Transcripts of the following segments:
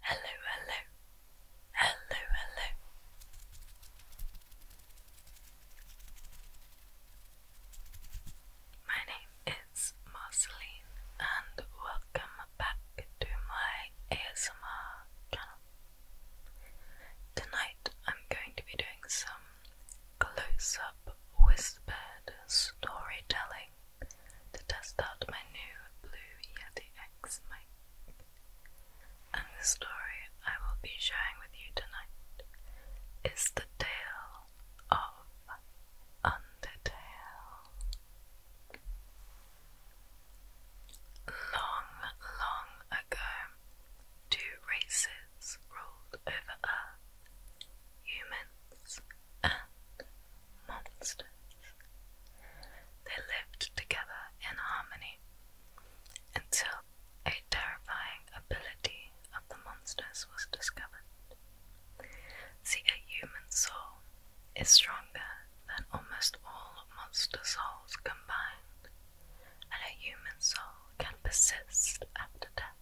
Hello, hello, hello, hello. My name is Marceline, and welcome back to my ASMR channel. Tonight I'm going to be doing some close up whispered storytelling to test out my new Blue Yeti X mic. And the story I will be sharing with you tonight is the tale of Undertale. Long, long ago, two races ruled over Earth humans and monsters. They lived together in harmony until a terrifying ability of the monsters was discovered. See, a human soul is stronger than almost all monster souls combined, and a human soul can persist after death.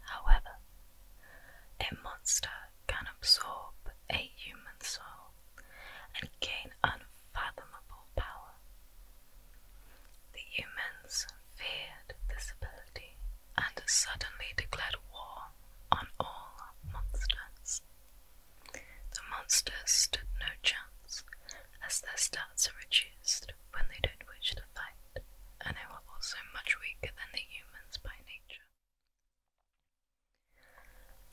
However, a monster can absorb a human soul and gain unfathomable power. The humans feared this ability and suddenly declared war on all monsters. The monsters stood no chance, as their stats are reduced when they don't wish to fight, and they were also much weaker than the humans by nature.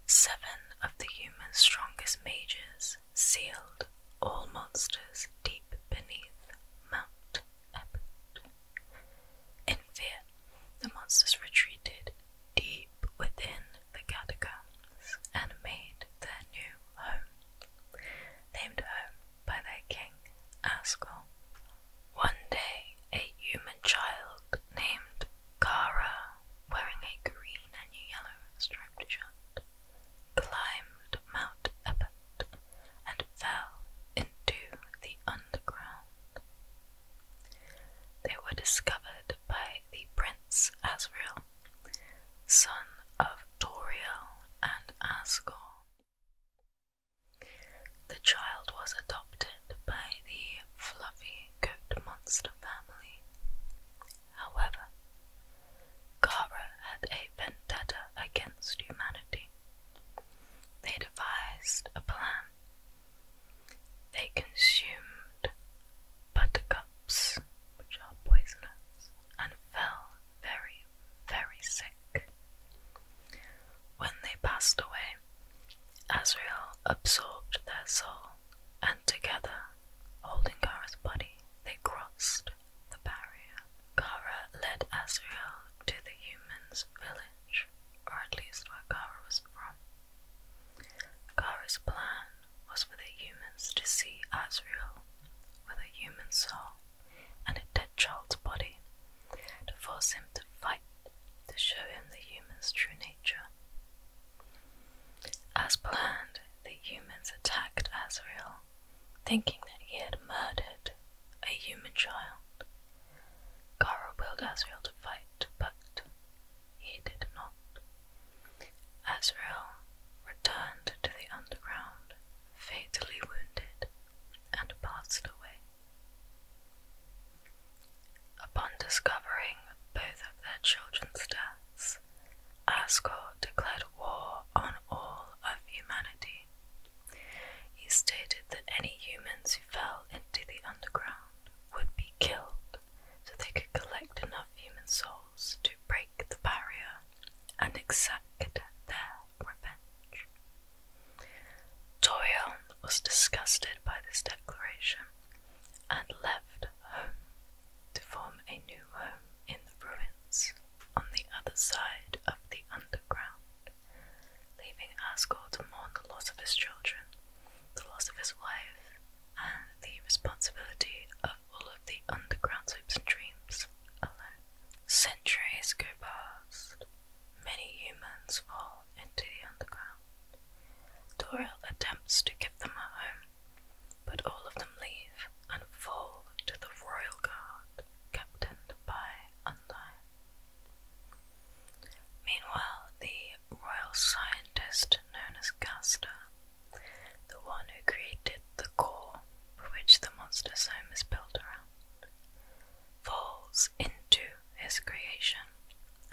Seven of the human strongest mages sealed all monsters deep beneath Mount Ebbot. In fear, the monsters retreated deep within the catacombs and made their new home, named home by their king, Asgore. One day, a human child named Kara, wearing a green and yellow striped shirt, climbed Mount Ebbet and fell into the underground. They were discovered by the Prince Asriel, son of Doriel and Ascal. The child was adopted by the Fluffy coat Monster family. However, Kara had a vendetta against humanity. They devised a plan. They consumed buttercups, which are poisonous, and fell very, very sick. When they passed away, Azrael absorbed their soul, and together, holding Kara's body, they crossed the barrier. Kara led Azrael to the humans' village, or at least where Kara was from. Kara's plan was for the humans to see Azrael with a human soul and a dead child's body to force him to fight to show him the human's true nature. As planned, the humans attacked Azrael, thinking that he had murdered a human child. Kara willed Azrael to fight, but he did not. Azrael returned to the underground, fatally wounded and passed away. Upon discovering both of their children's deaths, Ascor declared war on all of humanity. He stated that any humans who fell into the underground would be killed so they could collect enough human souls to break the barrier and exact their revenge. Toriel was disgusted by this declaration and left home to form a new home in the ruins on the other side of the underground, leaving Asgore to mourn the loss of his children, the loss of his wife, and the responsibility of all of the underground hopes and dreams alone. Centuries go past, Many humans fall into the underground. Doril attempts to give them a home, but all of them leave and fall to the royal guard captained by Undyne. Meanwhile, the royal scientist known as Gaster, the one who created the core for which the monster's home is built around, falls into his creation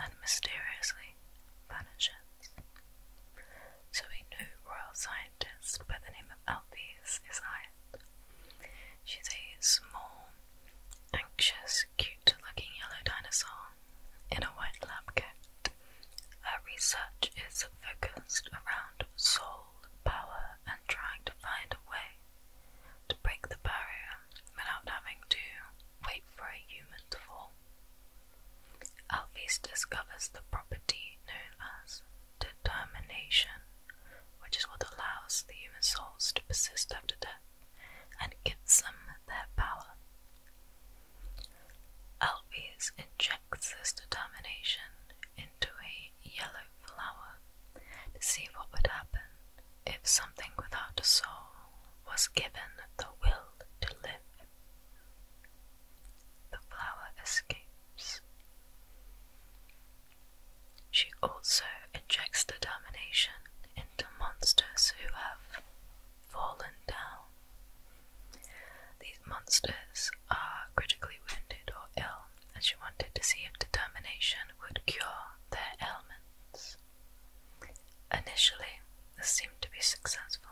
and mysteriously vanishes. So we new royal scientist by the name of Alphys is hired. She's a small, anxious, cute looking yellow dinosaur in a white lab coat. Her research is focused around soul power and trying to find a way to break the barrier without having to wait for a human to fall. Alphys discovers the property known as determination, which is what allows the human souls to persist after death and gives them their power. Alphys injects this determination into a yellow flower to see what would happen if something without a soul was given the will to live, the flower escapes. She also injects determination into monsters who have fallen down. These monsters are critically wounded or ill, and she wanted to see if determination would cure their ailment. Initially, this seemed to be successful.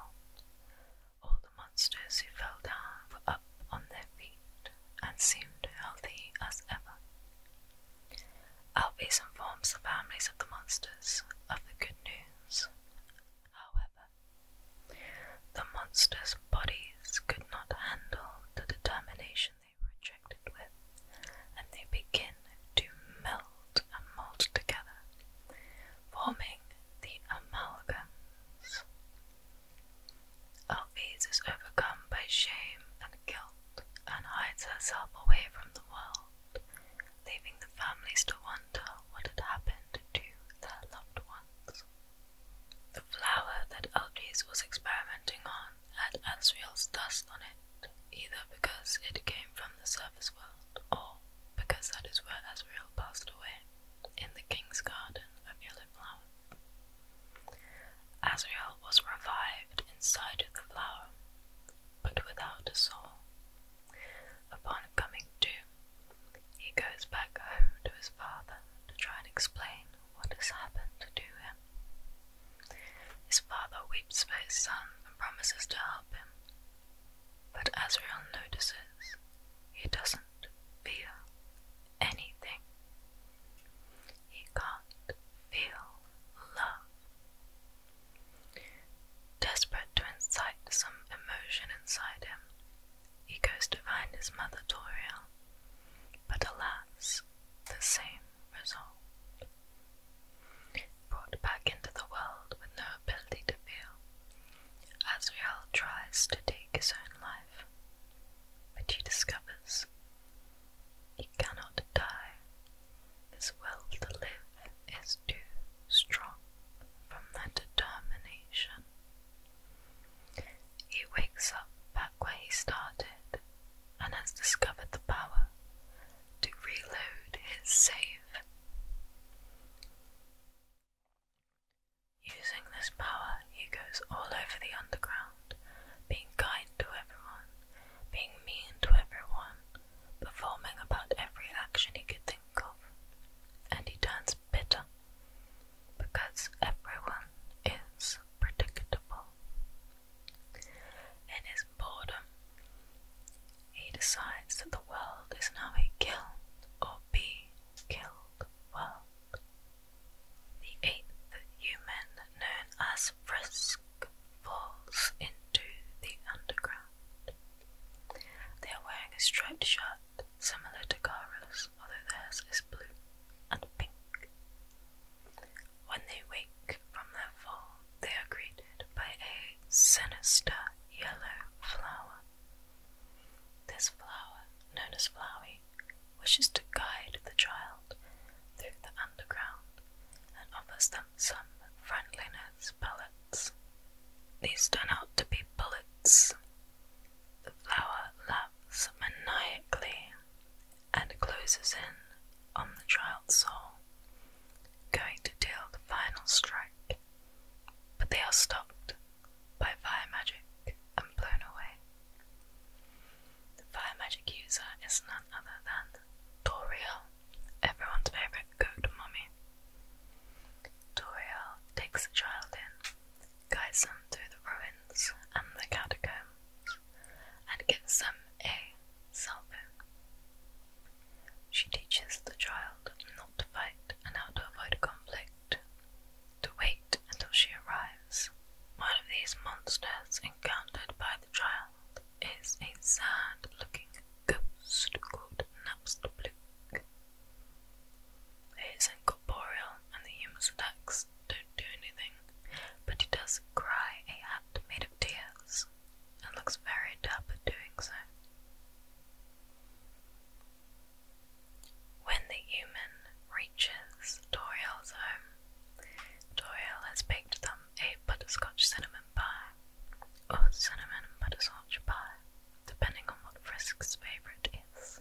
All the monsters who fell down were up on their feet and seemed healthy as ever. Alvis informs the families of the monsters of the good news. However, the monsters' bodies could not handle the determination they were injected with, and they begin to melt and mold together, forming the amalgams. Alphys is overcome by shame and guilt and hides herself away from the world, leaving the families to wonder what had happened to their loved ones. The flower that Alphys was experimenting on had Asriel's dust on it, either because it came from the surface world or because that is where Asriel passed away, in the king's garden of yellow flower. Asriel was revived inside of the flower, but without a soul. Upon coming to, he goes back home to his father to try and explain what has happened to him. His father weeps for his son and promises to help him. But Azrael notices he doesn't feel anything. He can't feel love. Desperate to incite some emotion inside him, he goes to find his mother Toriel, but alas, the same resolved. Brought back into the world with no ability to feel, Azrael tries to take his own life, but he discovers he cannot die. His will to live is too strong from that determination. He wakes up back where he started and has discovered the power to reload his save. Using this power, he goes all over the underground, being kind to everyone, being mean to everyone, performing about every action he could think of, and he turns bitter because everyone is predictable. In his boredom, he decides that the world is now a killed or be killed world. The eighth human, known as Frisk, falls into the underground. They are wearing a striped shirt similar to Kara's, although theirs is blue and pink. When they wake from their fall, they are greeted by a sinister yellow flower. This flower, known as Flowey, wishes to guide the child through the underground and offers them some friendliness pellets. These turn out to be bullets. The flower laughs maniacally and closes in on the child's soul, going to deal the final strike, but they are stopped by fire magic and blown away. The fire magic user is none other than Toriel, everyone's favourite goat mommy. Toriel takes the child in, guides them through the ruins and the catacombs, and gives them a cell She teaches the child not to fight and how to avoid conflict, to wait until she arrives. One of these monsters encountered by the child is a sad looking ghost called Napstablook. It is incorporeal and the humans attack don't do anything, but he does cry a hat made of tears and looks very dapper doing so. When the human reaches Toriel's home, Toriel has baked them a butterscotch cinnamon pie, or cinnamon butterscotch pie, depending on what Frisk's favourite is.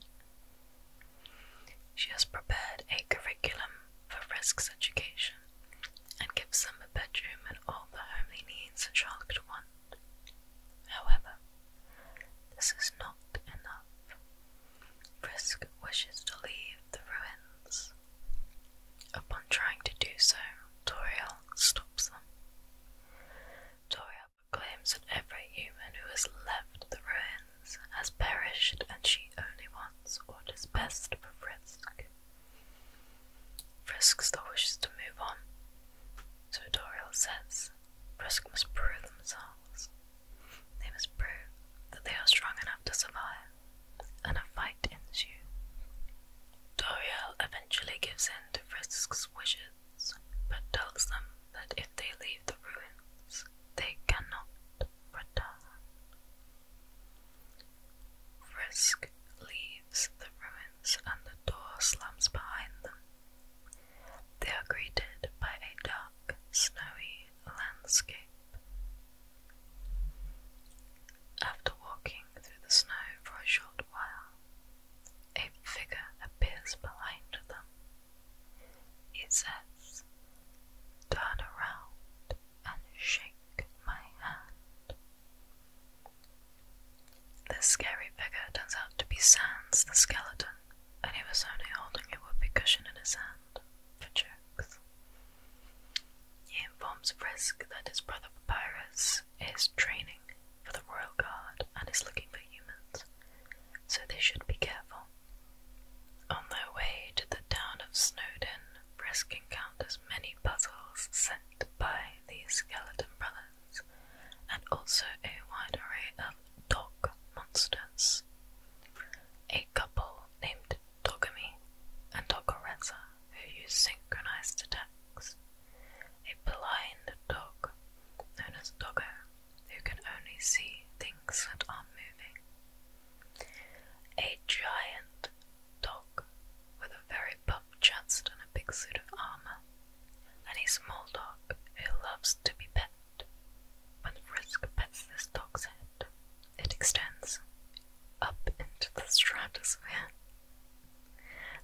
She has prepared a curriculum for risks education and gives them a bedroom and all the homely needs a child could want. However, this is not enough. Frisk wishes to leave the ruins. Upon trying to do so, Toriel stops them. Toriel claims that every human who has left the ruins has perished, and she only wants what is best for Frisk. Frisk's the wishes to move on, so Doriel says Frisk must prove themselves. They must prove that they are strong enough to survive, and a fight ensues. Doriel eventually gives in to Frisk's wishes, but tells them that if they leave the ruins, they cannot return. Frisk leaves the ruins and the door slams behind them. They are greeted by a dark, snowy landscape. After walking through the snow for a short while, a figure appears behind them it says, Turn around and shake my hand. This scary figure turns out to be Sans the skeleton, and he was only holding a whoopee cushion in his hand for jokes. He informs Frisk that his brother Papyrus is training for the royal guard and is looking for humans, so they should be careful. On their way to the town of Snowdon, Brisk encounters many puzzles set by the Skeleton Brothers and also a wide array of dog monsters. A couple named Dogami and Dogoreza who use synchronized attacks. A blind dog known as Doggo who can only see things that are moving. A giant dog with a very puffed chest and a big suit of armor, and a small dog who loves to be petted. When Frisk pets this dog's head, it extends up into the stratosphere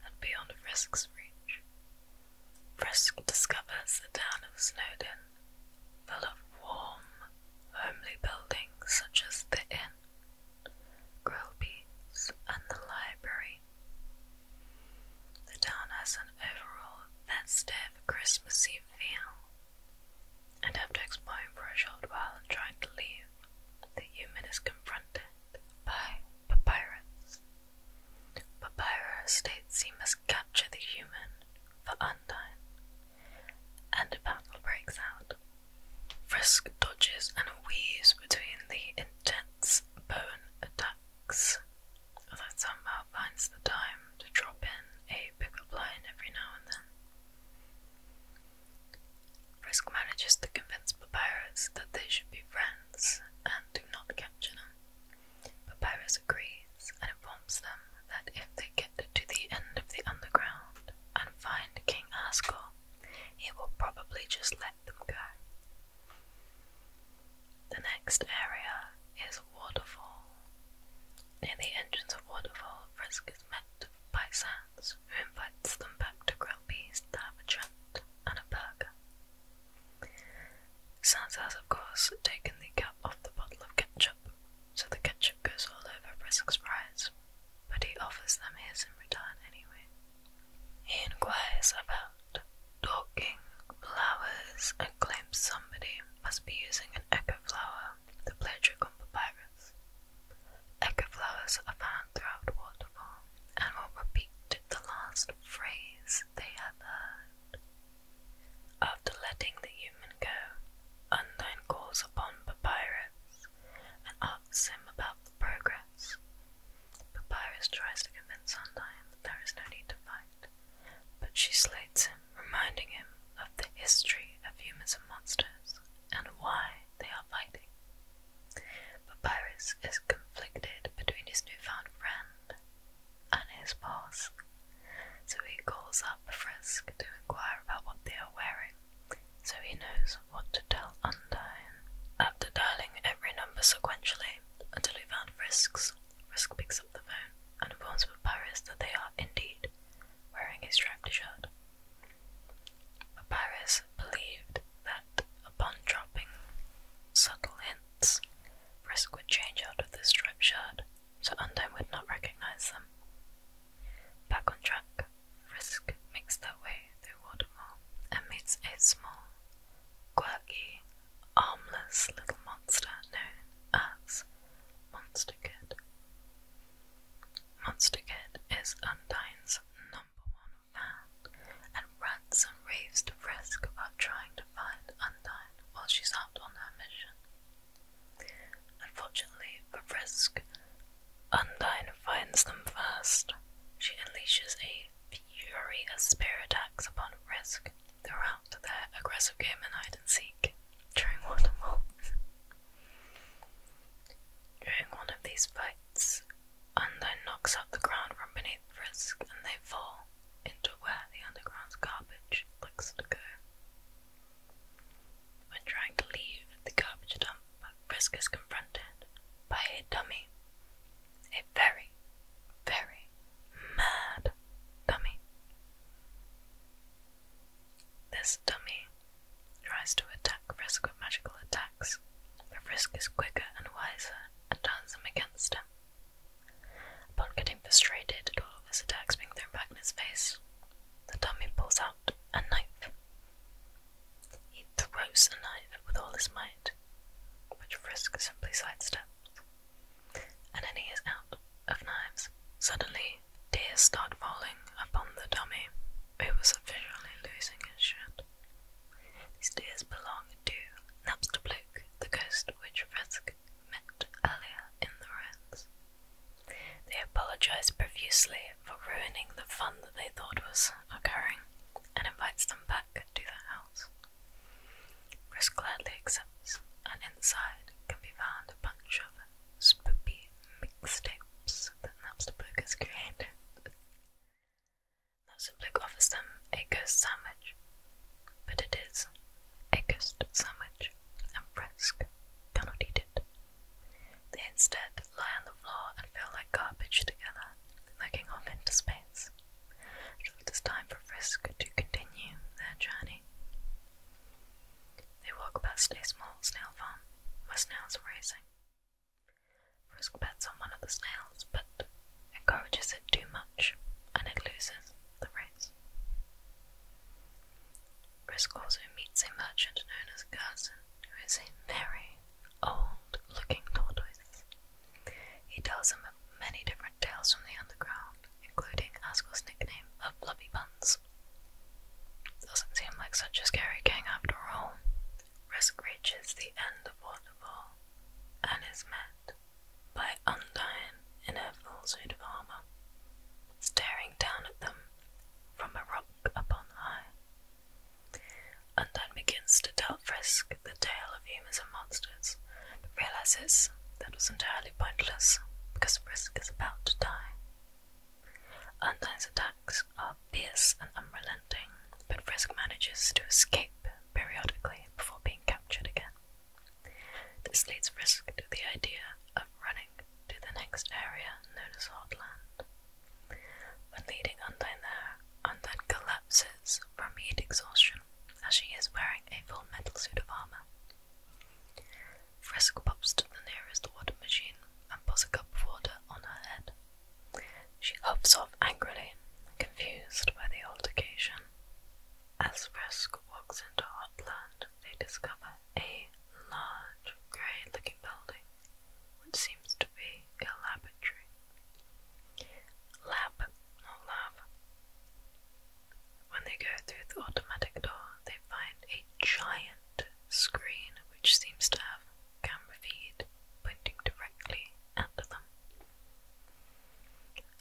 and beyond Frisk's reach. Frisk discovers the town of Snowdon full of warm, homely buildings such as the inn, grillbees, and the library. The town has an overall festive Christmas Eve feel, and after exploring for a short while and trying to leave, the human is confronted by Papyrus. Papyrus states he must capture the human for Undyne, and a battle breaks out. Frisk dodges and weaves between the intense bone attacks, that somehow finds the time to drop in a pick pickup line every now and then. Frisk manages to convince the pirates that they should be friends and do not capture them, but Pyrrhus agrees and informs them that if they get to the end of the underground and find King Asgore, he will probably just let them go. The next area is Waterfall. Near the entrance of Waterfall, Frisk is met by Sans, who invites them back to Grillby's to have a drink and a burger. Sans has, of course, taken the cap off the bottle of ketchup so the ketchup goes all over for Brisk's surprise, but he offers them his in return anyway. He inquires about talking flowers and claims somebody must be using an echo flower the play a trick on papyrus. Echo flowers are found throughout Waterfall and will repeat the last phrase they have heard. After letting the human go, Undine calls upon Papyrus and asks him about the progress. Papyrus tries to convince Undine that there is no need to fight, but she slates him, reminding him of the history of humans and monsters and why they are fighting. Papyrus is conflicted between his newfound friend and his boss, so he calls up Frisk to inquire about what they are wearing, so he knows what to tell Undyne. After dialing every number sequentially until he found Frisk's, Frisk picks up the phone and informs Papyrus that they are indeed wearing a striped shirt. Papyrus believed that upon dropping subtle hints, Frisk would change out of the striped shirt so Undone would not recognize them. Back on track, Frisk makes their way through Watermore and meets a small, quirky, armless little monster known as Monster Kid. Monster Kid is Undyne's number one fan and rants and raves to Frisk about trying to find Undyne while she's out on her mission. Unfortunately Frisk, Undine finds them first. She unleashes a fury of spear attacks upon Frisk throughout their aggressive game in hide and seek during one of these fights, Undine knocks up the ground from beneath Frisk and they fall into where the underground's garbage likes to go. When trying to leave the garbage dump, Frisk is confronted by a dummy. A very, very mad dummy. This dummy tries to attack Frisk with magical attacks, but Frisk is quicker and wiser and turns them against him. Upon getting frustrated at all of his attacks being thrown back in his face, the dummy pulls out a knife. He throws the knife with all his might, which Frisk simply sidesteps. And then he is out of knives. Suddenly, tears start falling upon the dummy, who was officially losing his shit. These tears belong to Napster Bloke, the ghost which Frisk met earlier in the ruins. They apologize profusely for ruining the fun that they thought was occurring and invites them back to the house. Chris gladly accepts, and inside can be found a bunch of spoopy mix tapes that the Bloke has created. Napster Bloke offers them a ghost sandwich but it is a ghost sandwich and frisk cannot eat it. They instead lie on the floor and feel like garbage together, looking off into space. Until it is time for Frisk to continue their journey. They walk past a small snail farm where snails are racing. Frisk bets on one of the snails, but encourages it too much and it loses the race. Brisk also meets a merchant known as Gerson, who is a very old looking tortoise. He tells him many different tales from the underground, including Asgle's nickname of Blubby Buns. Doesn't seem like such a scary king after all. Risk reaches the end of Waterfall and is met by undyne in her full suit of armour, staring down at them from a rock upon high. Undyne begins to tell Frisk the tale of humans and monsters, but realizes that was entirely pointless because Frisk is about to die. Undyne's attacks are fierce and unrelenting, but Frisk manages to escape periodically before being captured again. This leads Frisk to the idea of running to the next area known as Hotland. When leading Undyne there, Undyne collapses from heat exhaustion as she is wearing a full metal suit of armor. Frisk pops to the nearest water machine and pours a cup of water on her head. She hops off angrily, confused by the altercation. As Frisk walks into Hotland, they discover a large, grey looking building, which seems to be a laboratory. Lab, not lab. When they go through the automatic door, they find a giant screen which seems to have camera feed pointing directly at them.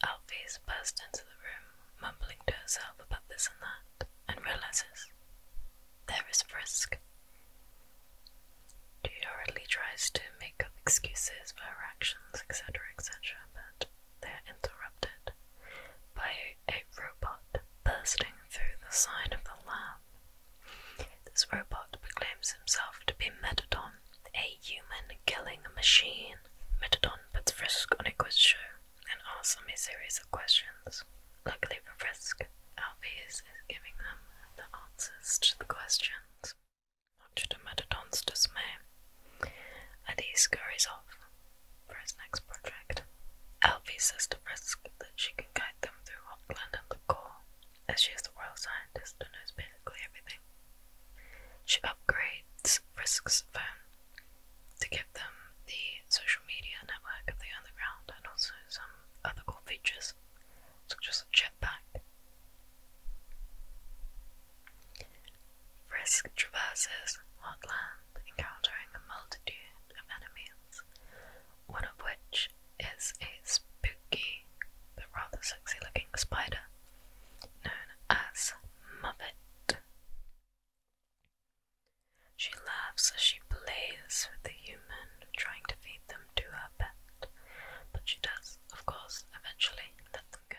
Alphys bursts into the room, mumbling to herself about this and that, and realizes there is Frisk. She hurriedly tries to make up excuses for her actions, etc., etc., but they are interrupted by a robot bursting through the side of the lab. This robot proclaims himself to be Metadon, a human killing machine. 2015, Metadon puts Frisk on a quiz show and asks him a series of questions. Luckily for Frisk, Alvi is giving them the answers to the questions. Much to Metadon's dismay, Adi scurries off for his next project. Alvi says to Frisk that she can guide them through Auckland and the core, as she is the royal scientist and knows basically everything. She upgrades Frisk's phone to give them the social media network of the underground and also some other cool features, So just a back. Frisk traverses land, encountering a multitude of enemies, one of which is a spooky but rather sexy looking spider known as Muppet. She laughs as she plays with the human, trying to feed them to her pet, but she does, of course, eventually let them go.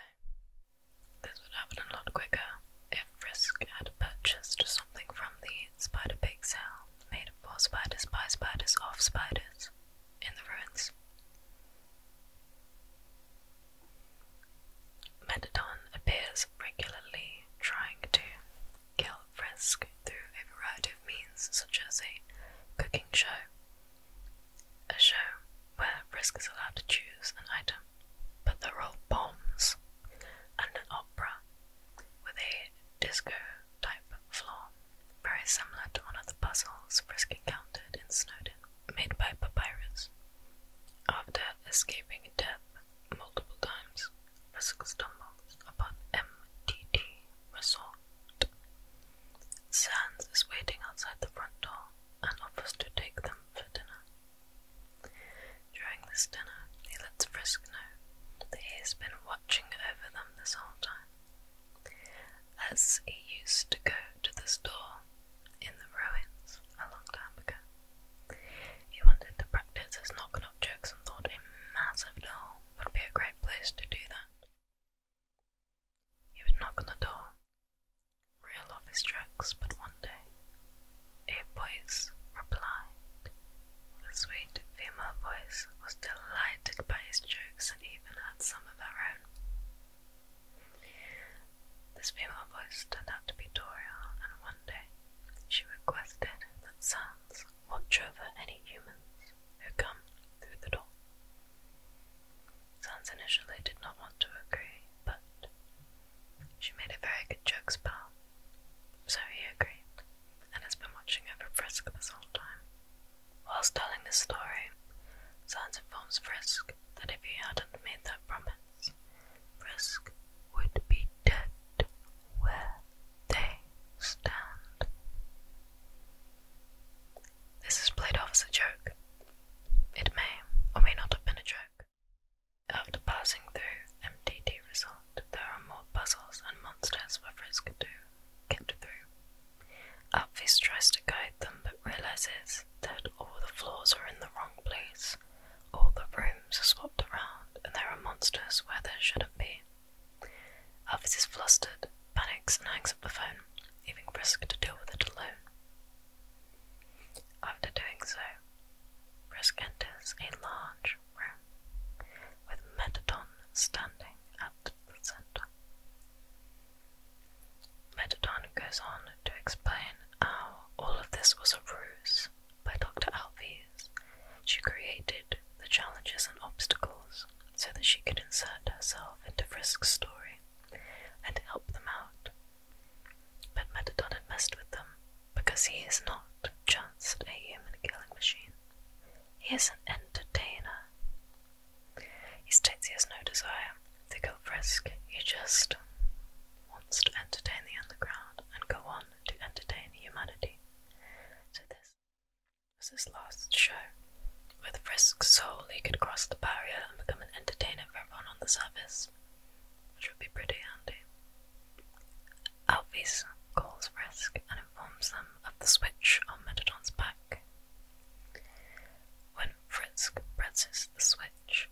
This would happen a lot quicker if Frisk had purchased something from the spider pig sale made of four spiders by spiders of spiders in the ruins. Metadon appears regularly trying to kill Frisk through a variety of means, such as a cooking show, a show where Frisk is allowed to choose an item, but they're all bombs, and an opera with a disco type floor, very similar to one of the puzzles Frisk encountered in Snowden made by papyrus. After escaping death multiple times, Russell stumbles upon MTT Resort. Sands is waiting outside the front door and offers to take them for dinner. During this dinner, he lets Frisk know that he has been watching over them this whole time. As he used to go to the store in the ruins a long time ago. He wanted to practice his knock knock jokes and thought a massive door would be a great place to do that. He would knock on the door, reel off his jokes, but one day a voice replied. The sweet female voice was delighted by his jokes and even had some of her own. This female voice turned out to be Doria, and one day she requested that Sans watch over any humans who come through the door. Sans initially did not want to agree, but she made a very good joke spell, so he agreed, and has been watching over Frisk this whole time. Whilst telling this story, Sans informs Frisk that if he hadn't made that promise, Frisk would be dead where they stand. This is played off as a joke. It may or may not have been a joke. After passing through MDD Resort, there are more puzzles and monsters for Frisk to get through. Alphys tries to guide them but realizes that all the floors are in the wrong place, all the rooms are swapped around, and there are monsters where there shouldn't be. Elvis is flustered, panics, and hangs up the phone, leaving Brisk to deal with it alone. After doing so, Brisk enters a large room with Metatron standing at the center. Metadon goes on to explain how all of this was a ruse by Dr. Alves. She created the challenges and obstacles so that she could insert herself into Frisk's story and help them out. But Metadon messed with them because he is not just a human killing machine. He is an entertainer he states he has no desire to go for he just wants to entertain the underground and go on to entertain humanity. So this was his last show. With Frisk's soul, he could cross the barrier and become an entertainer for everyone on the surface, which would be pretty handy. Alphys calls Frisk and informs them of the switch on Metadon's back. When Frisk presses the switch,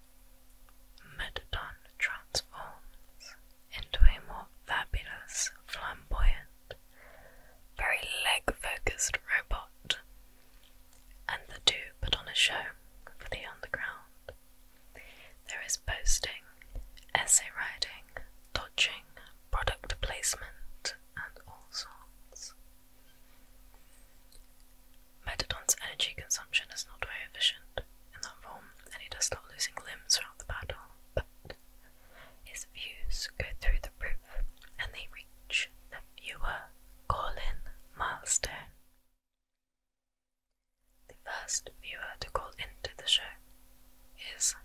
Metadon transforms into a more fabulous, flamboyant, very leg focused robot, and the two put on a show for the underground. There is posting, essay writing, dodging, product placement, and all sorts. Metadon's energy consumption is not very efficient in that form, and he does start losing limbs throughout the battle, but his views go through the roof and they reach the viewer call-in milestone. The first viewer to call into the show is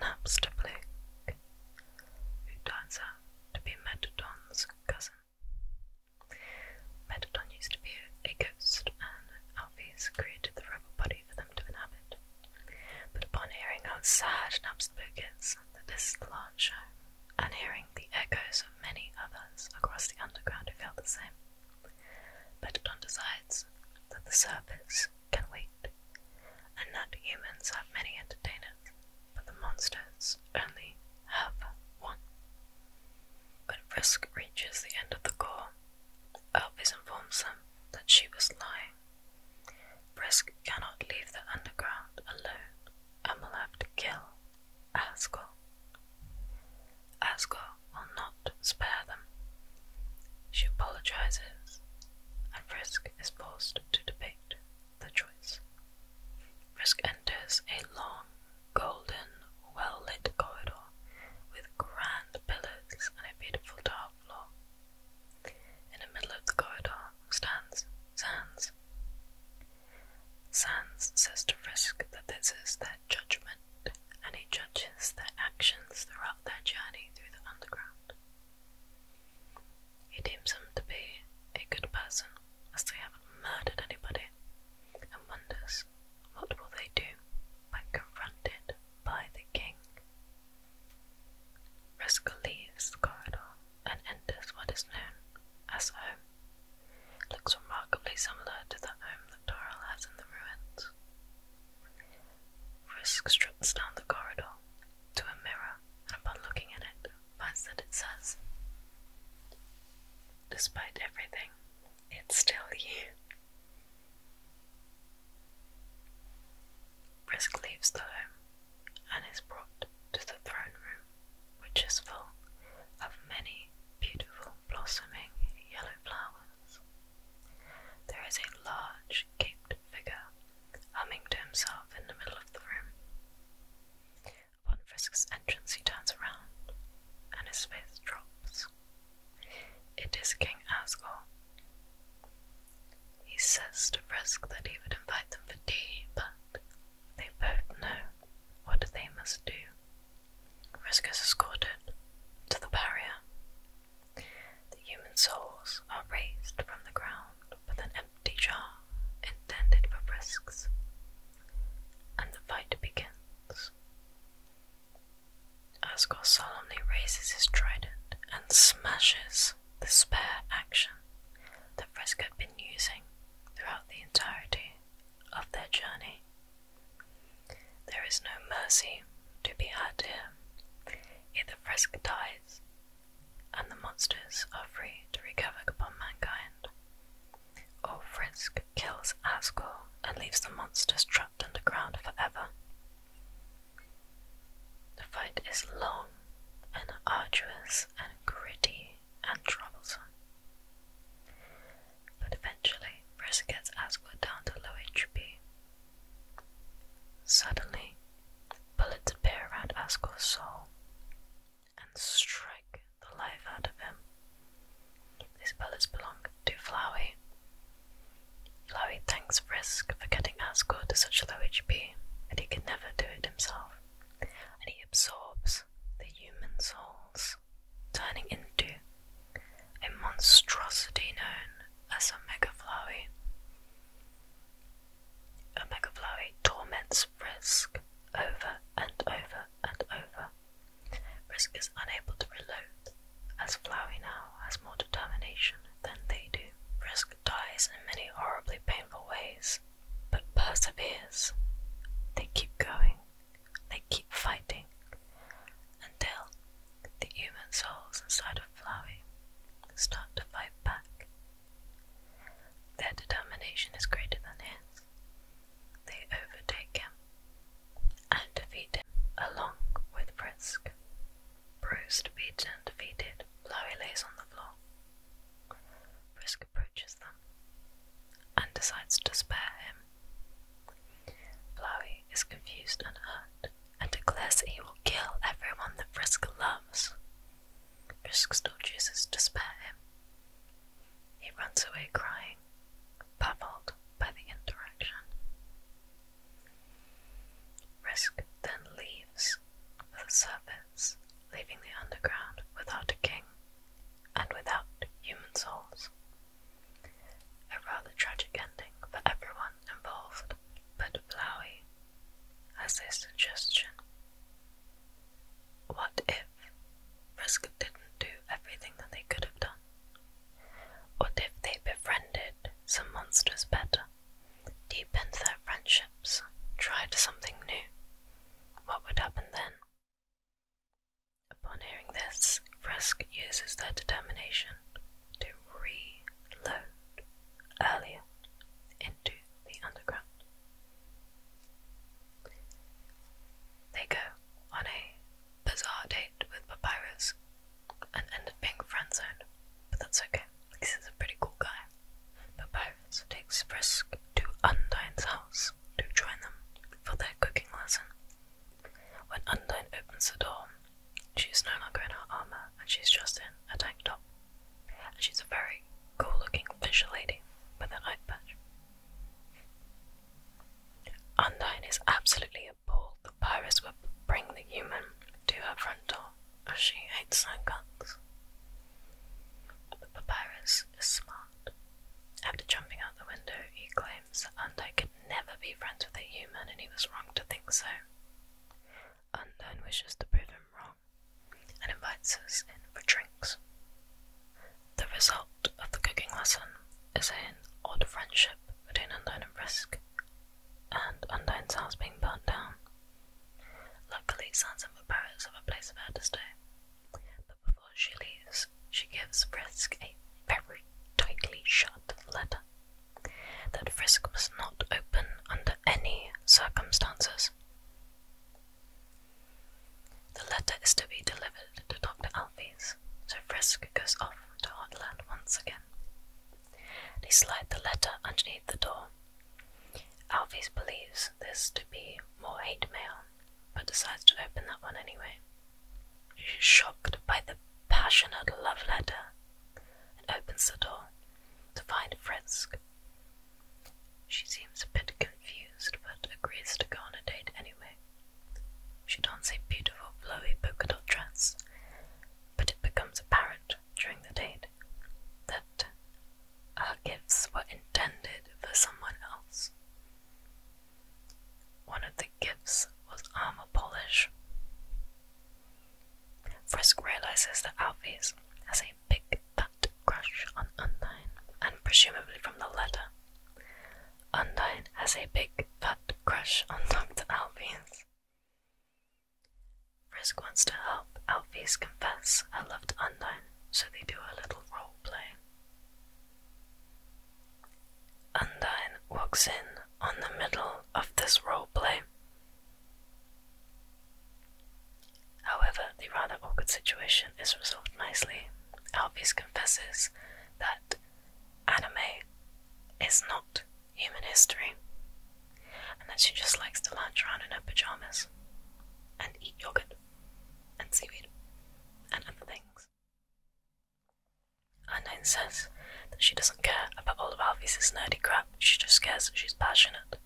Naps to Blake, who turns out to be Metadon's cousin. Metatron used to be a ghost, and Alphys created the rubber body for them to inhabit. But upon hearing how sad Napsbook is that this is the last and hearing the echoes of many others across the underground who felt the same, Metatron decides that the surface can wait, and that humans have many entertainers, but the monsters only have one. When Frisk reaches the end of the core, Elvis informs them that she was lying. Frisk cannot leave the underground alone and will have to kill Asgore. Asgore will not spare them. She apologizes, and Frisk is forced to debate the choice. Frisk enters a long, golden, well lit corridor with grand pillars and a beautiful tile floor. In the middle of the corridor stands Sans. Sans says to Frisk that this is their judgment, and he judges their actions throughout their journey through the underground. He deems him to be a good person, as they haven't murdered anybody, and wonders what will they do when confronted by the king. Rascal leaves the corridor and enters what is known as home. looks remarkably similar to the home that Doral has in the ruins. Frisk strips down the corridor to a mirror, and upon looking at it, was that it says, despite everything, it's still you. Brisk leaves the home and is brought to the throne room, which is full of many beautiful blossoming yellow flowers. There is a large caped figure humming to himself in the middle of the room. Upon Frisk's entrance, he turns around, and his face drops. It is King Asgore. He says to Frisk that he would invite them for tea, but they both know what they must do. Frisk is escorted to the barrier. The human souls are raised from the ground with an empty jar intended for frisks, and the fight begins. Asgore solemnly raises his trident and smashes the spare action that Frisk had been using throughout the entirety of their journey. There is no mercy to be had here. Either Frisk dies and the monsters are free to recover upon mankind. Or Frisk kills Asgore and leaves the monsters trapped underground forever. The fight is long and arduous and gritty and troublesome. But eventually, Frisk gets Asgore down to low HP. Suddenly, bullets appear around Asgore's soul and strike the life out of him. These pellets belong to Flowey. Flowey thanks Frisk for getting Asgore to such low HP and he can never do it himself, and he absorbs the human souls, turning into a monstrosity known as a Mega Flowey. Omega Flowey torments Frisk over and over and over. Frisk is unable to reload, as Flowey now has more determination than they do. Frisk dies in many horribly painful ways, but perseveres. They keep going, they keep fighting, until the human souls inside of Flowey start to fight back their determination is greater than his. They overtake him and defeat him along with Brisk. Bruised, beaten, and defeated, Blowy lays on the floor. Brisk approaches them and decides to spare him. Blowy is confused and hurt and declares that he will kill everyone that Brisk loves. Brisk still chooses to spare him. He runs away crying, baffled by the interaction. Risk then leaves for the surface, leaving the underground without a king and without human souls. A rather tragic ending for everyone involved, but Flowey as a suggestion. What if Frisk didn't do everything that they could have done? What if they befriended some monsters better, deepened their friendships, tried something new? What would happen then? Upon hearing this, Frisk uses their determination to reload earlier into the underground. They go on a bizarre date with Papyrus and end up being friend zoned, but that's okay because he's a pretty cool guy. Papyrus takes Brisk to Undine's house to join them for their cooking lesson. When Undine opens the door, she's no longer in her armor and she's just in a tank top. And she's a very cool looking fish lady with an eye patch. Undine is absolutely appalled The papyrus will bring the human to her front door as she hates her guns. But Papyrus is smart. After jumping out the window, he claims that Undine could never be friends with a human and he was wrong to think so. Undine wishes to prove him wrong and invites us in for drinks. The result of the cooking lesson is an odd friendship between Undine and Risk, and Unknown's house being burnt down. Luckily, Sans and Paris have a place for her to stay, but before she leaves, she gives Frisk a very tightly shut letter that Frisk must not open under any circumstances. The letter is to be delivered to Dr. Alfie's, so Frisk goes off to Hotland once again. They slide the letter underneath the door. Alfie's believes this to be more hate mail, but decides to open that one anyway. She's shocked by the passionate love letter and opens the door to find Frisk she seems a bit confused, but agrees to go on a date anyway. She dons a beautiful flowy polka dot dress, but it becomes apparent during the date that her gifts were intended for someone else. One of the gifts was armor polish. Frisk realizes that Alfie's has a I picked crush on Undine, and presumably from the letter. Undine has a big fat crush on Dr. Alphys. Frisk wants to help Alphys confess I love Undine, so they do a little role play. Undine walks in on the middle of this role play However, the rather awkward situation is resolved nicely. Alphys confesses that anime is not human history, and that she just likes to lounge around in her pajamas and eat yogurt and seaweed and other things. Unknown says that she doesn't care about all of Alphys' nerdy crap, she just cares that she's passionate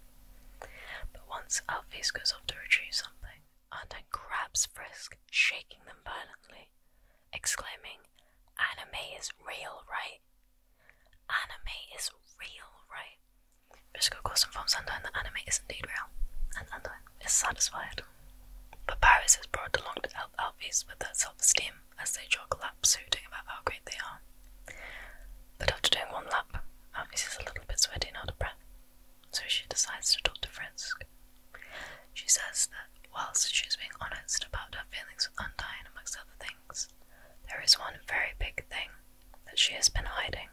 but once Alphys goes off to retrieve something, and then grabs Frisk, shaking them violently, exclaiming, Anime is real, right? Anime is real, right? Frisk, goes of course, informs Arndine that anime is indeed real, and Arndine is satisfied. But Paris has brought along to help Alphys with their self esteem as they jog laps hooting about how great they are. But after doing one lap, Alice is a little bit sweaty and out of breath, so she decides to talk to Frisk. She says that whilst she's being honest about her feelings with Undyne amongst other things, there is one very big thing that she has been hiding.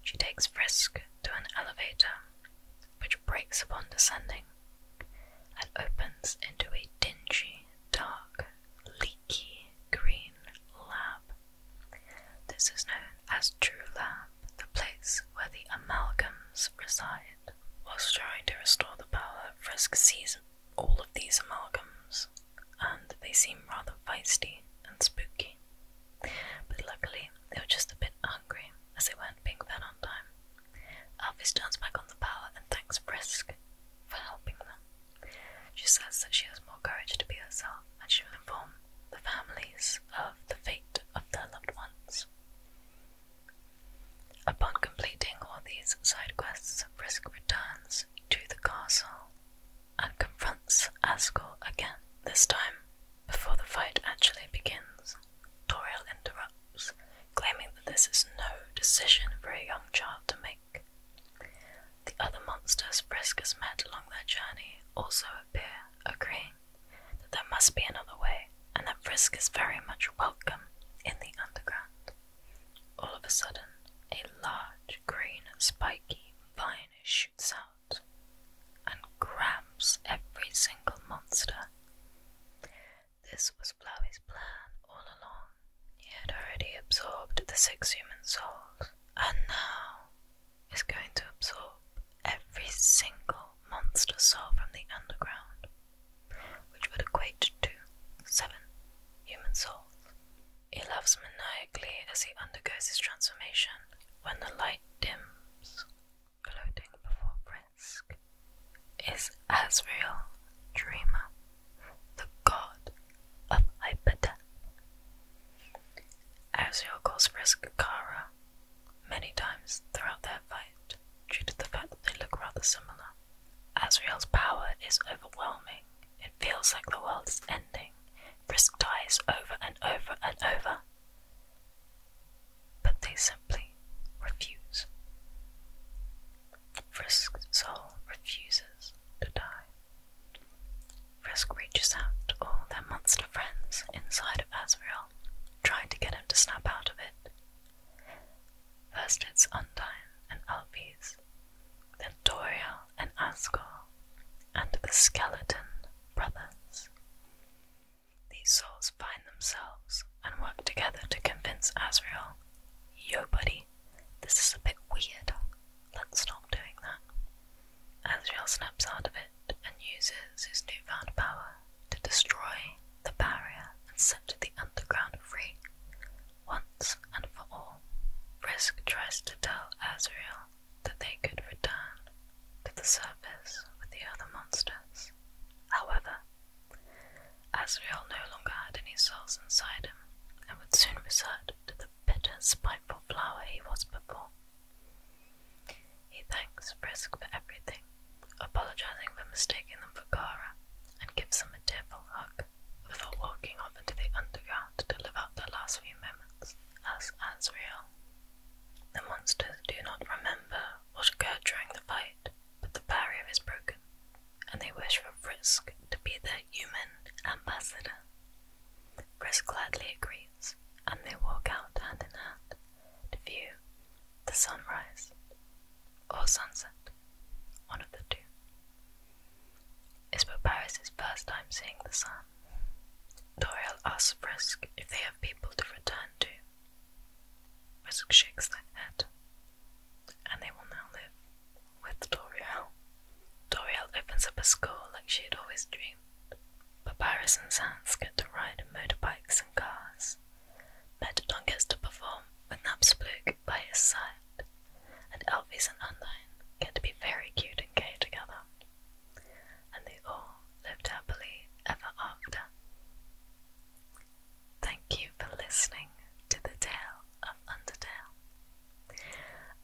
She takes Frisk to an elevator, which breaks upon descending and opens into a dingy, dark leaky green lab. This is known as True Lab, the place where the amalgams reside. Whilst trying to restore the power, Frisk sees all of these amalgams, and they seem rather feisty and spooky. But luckily, they were just a bit hungry, as they weren't being fed on time. Alphys turns back on the power and thanks Frisk for helping them. She says that she has more courage to be herself and she will inform the families of the fate of their loved ones. Upon completing all these side quests, Frisk returns to the castle and confronts Asgore again. This time, before the fight actually begins, Toriel interrupts, claiming that this is no decision for a young child to make. The other monsters Frisk has met along their journey also appear, agreeing that there must be another way and that Frisk is very much welcome in the underground. All of a sudden, a large, green, spiky vine shoots out and grabs every single monster. This was Flowey's plan all along, he had already absorbed the six human souls, and now is going to absorb every single monster soul from the underground, which would equate to seven human souls. He laughs maniacally as he undergoes his transformation. When the light dims, gloating before Frisk is Asriel Dreamer the god of Hypata. Azrael calls Frisk Kara many times throughout their fight due to the fact that they look rather similar. Azrael's power is overwhelming. It feels like the world is ending. Frisk dies over and over and over. But they simply refuse. Frisk's soul refuses to die. Frisk reaches out to all their monster friends inside of Azrael, trying to get him to snap out of it. First it's Undyne and Alphys, then Toriel and Asgore, and the Skeleton Brothers. These souls find themselves and work together to convince Azrael, Yo buddy, this is a bit weird, let's stop doing that. Azrael snaps out of it and uses his newfound power to destroy the barrier and set the underground free, once and for all. Frisk tries to tell Azrael that they could return to the surface with the other monsters. However, Azrael no longer had any souls inside him, and would soon resort to the bitter, spiteful flower he was before. He thanks Frisk for everything, apologizing for mistaking them for Kara, and gives them a tearful hug before walking off into the underground to live out the last few moments as Azrael. The monsters do not remember what occurred during the fight, but the barrier is broken, and they wish for Frisk to be there human ambassador. Chris gladly agrees, and they walk out hand in hand to view the sunrise or sunset, one of the two. It's Paparis' first time seeing the sun. Toriel asks Frisk if they have people to return to. Frisk shakes their head and they will now live with Doriel. Doriel opens up a school like she had always dreamed, but Paris and Sans get to ride in motorbikes and cars. Metadon gets to perform with Napsplug by his side, and Elvis and Undyne get to be very cute and gay together. And they all lived happily ever after. Thank you for listening to the tail of Undertale.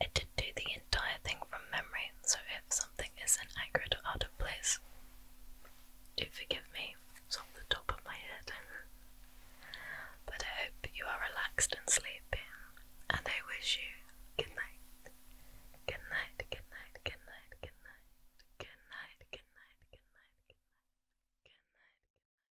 I did do the entire thing from memory, so if something is inaccurate or out of place, do forgive me, it's on the top of my head. but I hope you are relaxed and sleeping, and I wish you good night. Good night, good night, good night, good night, good night, good night, good night, good night, good night, good night.